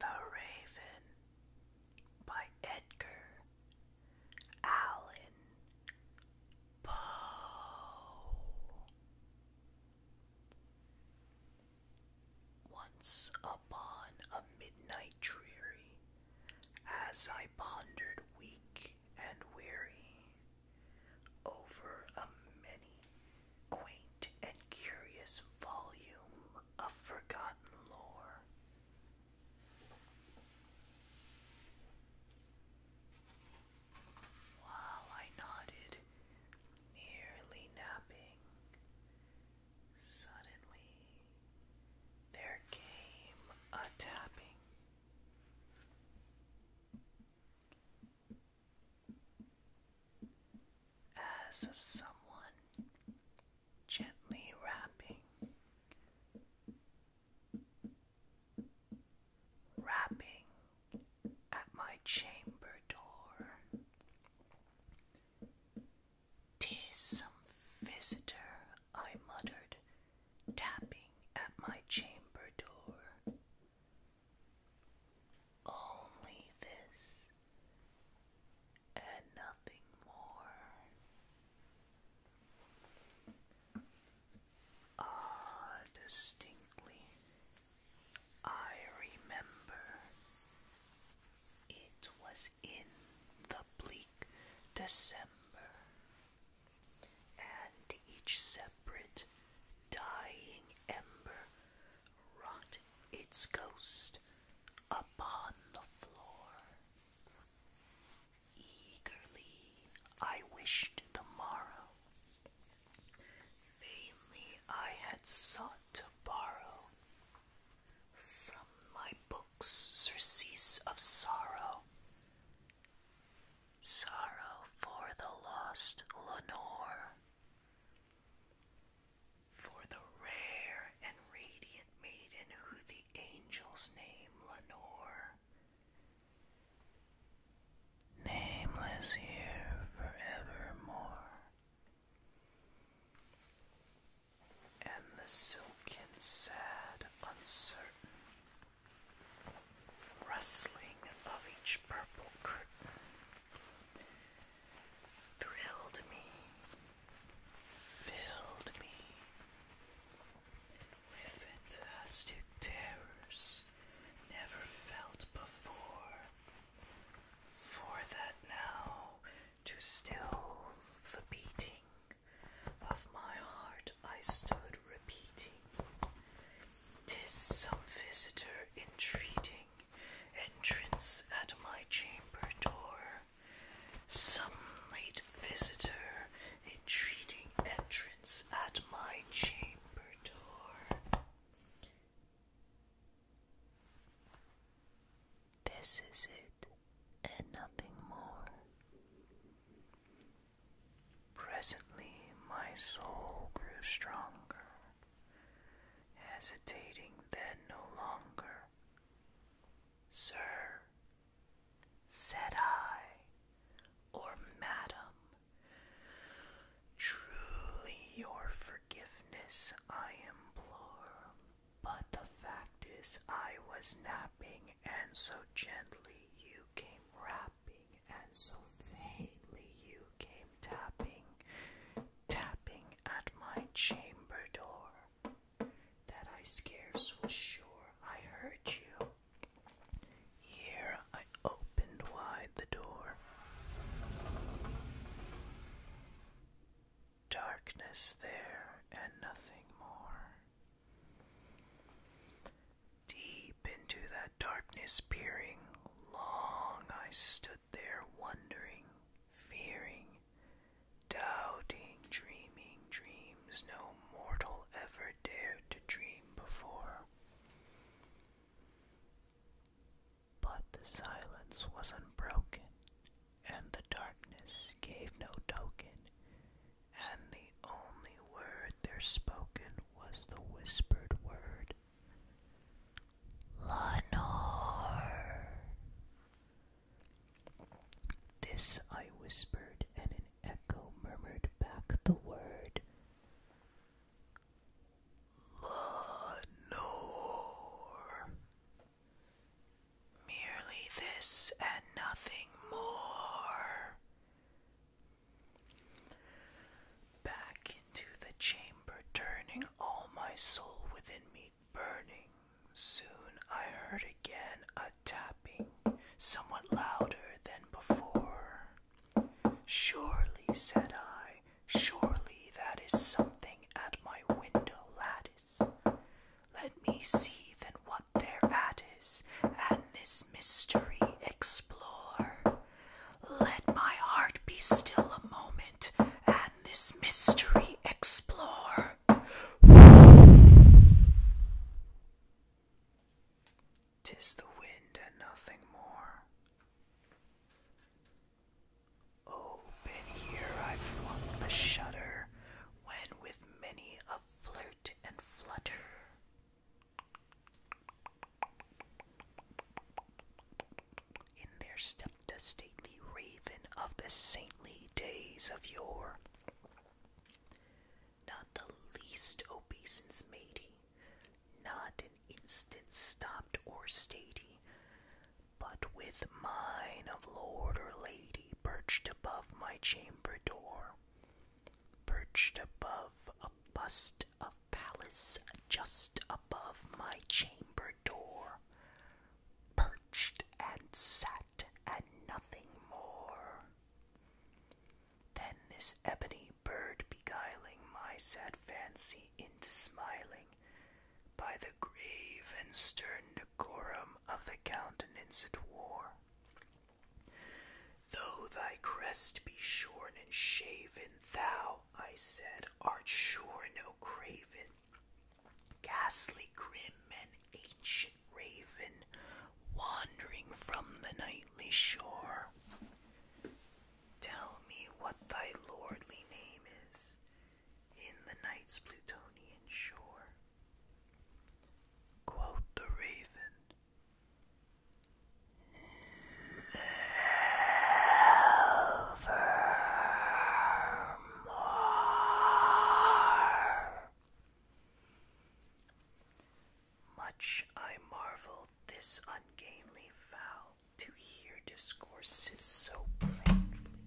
The Raven by Edgar Allan once upon a midnight dreary, as I pondered weak and weary over a many quaint and curious volume of forgotten lore while I nodded, nearly napping. Suddenly, there came a tapping. As of someone gently rapping rapping at my chamber door. Tis some visitor, I muttered, tapping at my chamber door. Only this and nothing more. Ah, distinctly, I remember. It was in the bleak December, and each separate dying ember wrought its ghost upon the floor. Eagerly I wished the morrow. Vainly I had sought to borrow from my books surcease of sorrow. Sorrow for the lost Lenore, for the rare and radiant maiden who the angel's name Lenore nameless here forevermore, and the silken, sad, uncertain rustling of each purple curtain thrilled me, filled me my fantastic terrors never felt before. For that now, to still the beating of my heart, I stood repeating, 'Tis some visitor entreating entrance at my chamber door. Some late visitor entreating entrance at my chamber door. This is it, and nothing more. Presently, my soul grew stronger, hesitating then no longer. Sir, said I, or madam, truly your forgiveness I implore. But the fact is, I was napping, and so gently you came rapping, and so faintly you came tapping, tapping at my chamber door, that I scarce was sure I heard you. Here I opened wide the door. Darkness there and nothing more. Deep into that darkness peering, long I stood there wondering, fearing, doubting, dreaming dreams no mortal ever dared to dream before. But the silence was unbroken, and the darkness gave no token, and the only word there spoken was the whispered word. Lenore! This I whispered, and in echo murmured back the word. Lenore. Merely this and nothing more. Back into the chamber, turning all my soul within me burning. Soon I heard again a tapping, somewhat louder than before. Surely, said I, surely that is something at my window lattice. Let me see then what thereat is, and this mystery explore. Let my heart be still a moment, and this mystery explore. Tis the wind and nothing more. Open here I flung the shutter, when with many a flirt and flutter. In there stepped a stately raven of the saintly days of yore not the least obeisance made not an instant stopped or stayed but with mine of lord or lady perched above my chamber door, perched above a bust of Palace just above my chamber door, perched and sat and nothing more. Then this ebony bird beguiling my sad fancy into smiling by the grave and stern decorum of the countenance it wore. Though thy crest be shorn and shaven, thou, I said, art sure no craven. Ghastly, grim, and ancient raven wandering from the nightly shore. Tell me what thy lordly name is in the night's Plutonian shore. Quote the raven. Nevermore. Much I marveled this ungainly fowl to hear discourses so plainly,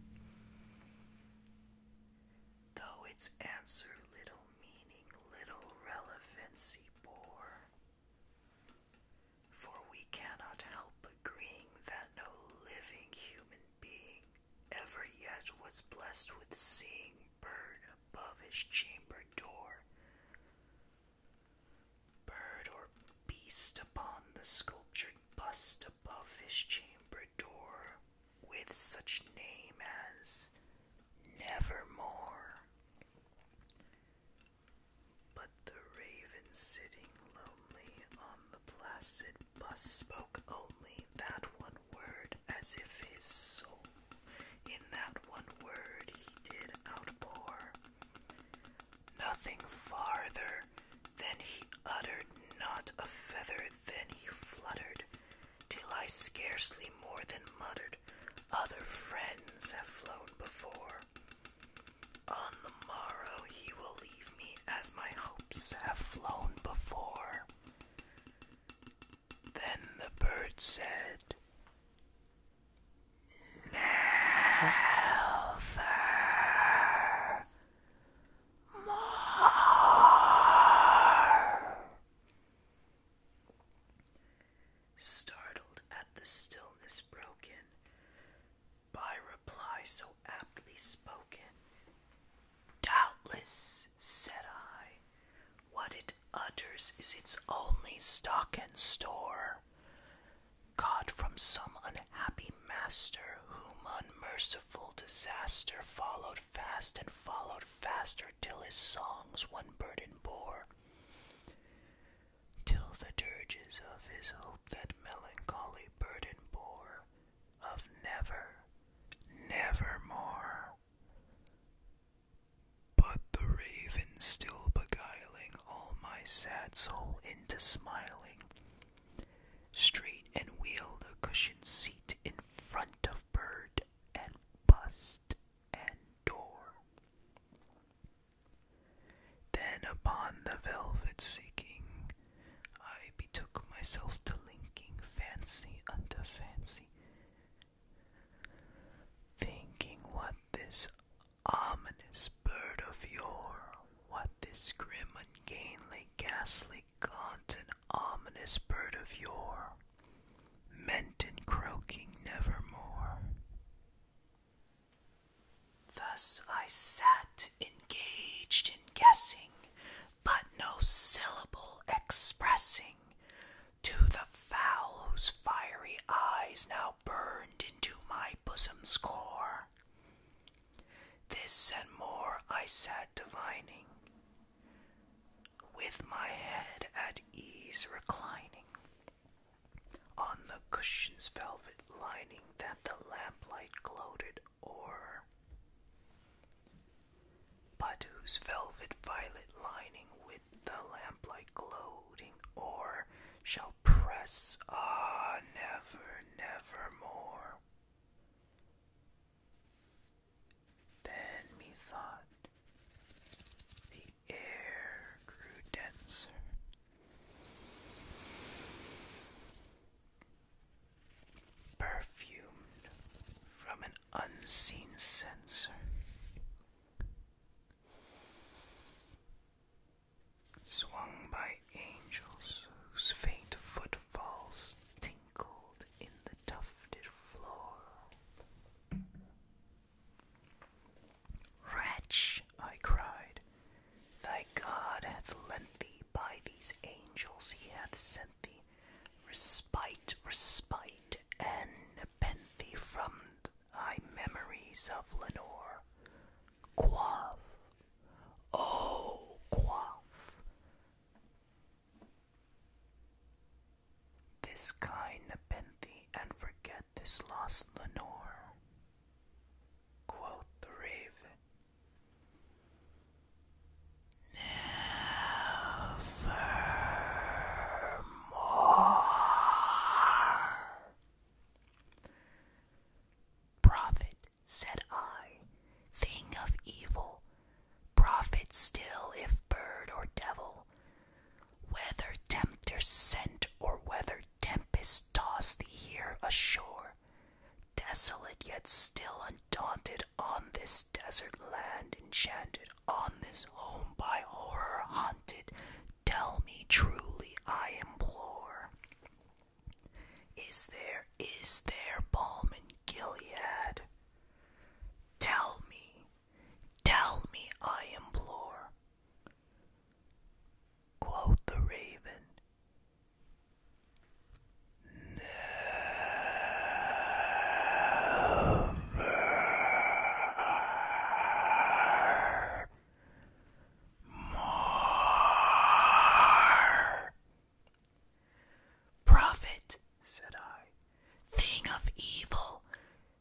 though its answer little meaning, little relevancy bore. For we cannot help agreeing that no living human being ever yet was blessed with seeing bird above his chamber door. Bird or beast upon the sculptured bust above his chamber door, with such name as Nevermore. But the raven sitting lonely on the placid bust spoke only that one word as if his soul, in that one word, he did outpour. Nothing farther than he uttered, not a feather than he fluttered, till I scarcely more than muttered, Other friends have flown before. On the morrow he will leave me as my hopes have flown before. Then the bird said, Never more. Startled at the stillness broken by reply so aptly spoken, Doubtless, said I, what it utters is its only stock and store, caught from some unhappy master whom unmerciful disaster followed fast and followed faster till his songs one burden bore. Till the dirges of his hope that melancholy burden bore, of never, never more." But the raven still beguiling all my sad soul into smiling, straight and wheeled a cushioned seat in front of bird and bust and door. Then upon the velvet seeking, I betook myself to linking fancy unto fancy, Thinking what this ominous bird of yore, what this grim, ungainly, ghastly, gaunt, and ominous bird of yore, meant in croaking nevermore. Thus I sat engaged in guessing but no syllable expressing to the fowl whose fiery eyes now burned into my bosom's core. This and more I sat divining, with my head at ease reclining on the cushion's velvet lining that the lamplight gloated o'er but whose velvet violet lining with the lamplight glowing, o'er shall press ah never, never more. Then methought the air grew denser. Perfumed from an unseen sensor. Swung by angels whose faint footfalls tinkled in the tufted floor. Wretch, I cried, thy God hath lent thee by these angels he hath sent respite, respite, and Nepenthe from thy memories of Lenore. Quaff, oh, quaff. This kind Nepenthe, and forget this lost Lenore. Quoth the raven, Nevermore. Prophet, said I, thing of evil, prophet still if bird or devil, whether tempter sent or whether tempest tossed thee here ashore, desolate yet still undaunted on this desert land enchanted, on this home by horror haunted, tell me truly, I implore. Is there, is there balm in Gilead? Tell me, tell me, I implore. Quote the raven more. Prophet, said I, thing of evil,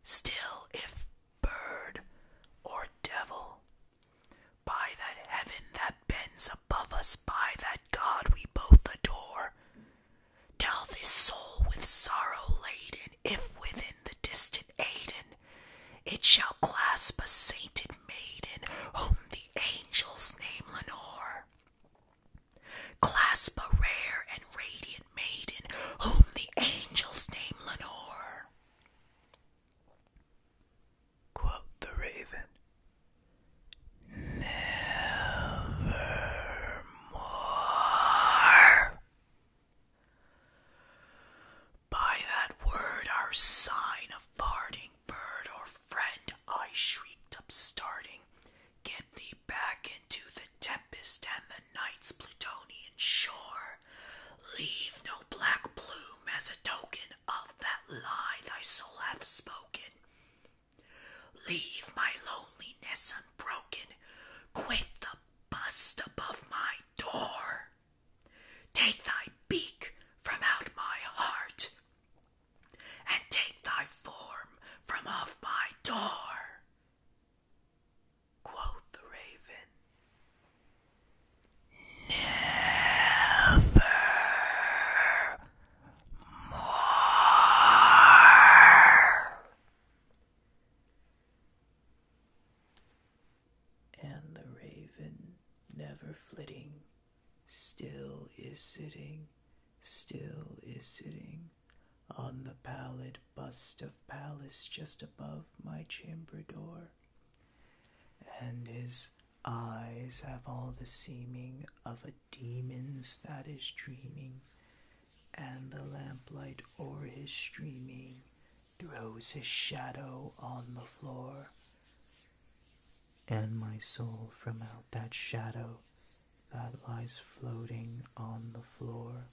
still if bird or devil. By that heaven that bends above us, by that God we both adore, Tell this soul with sorrow laden, if within the distant Aiden, it shall clasp a sainted maiden, whom the angels name Lenore. Clasp a rare and radiant maiden, whom the angels name Lenore. Quoth the raven, Nevermore. By that word, our sign of parting, bird or friend, I shrieked up, starting. Get thee back into the tempest and the night's plutonian shore. Leave no black plume as a token of that lie thy soul hath spoken. Leave my loneliness unbroken. Quit the bust above my door. Take thy beak from out my heart, and take thy form from off my door. Quoth the raven. Never more. And the raven, never flitting, still is sitting, still is sitting on the pallid bust of Pallas just above my chamber door. And his eyes have all the seeming of a demons that is dreaming, and the lamplight o'er his streaming throws his shadow on the floor. And my soul from out that shadow that lies floating on the floor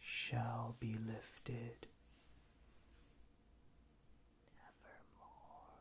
shall be lifted. Nevermore.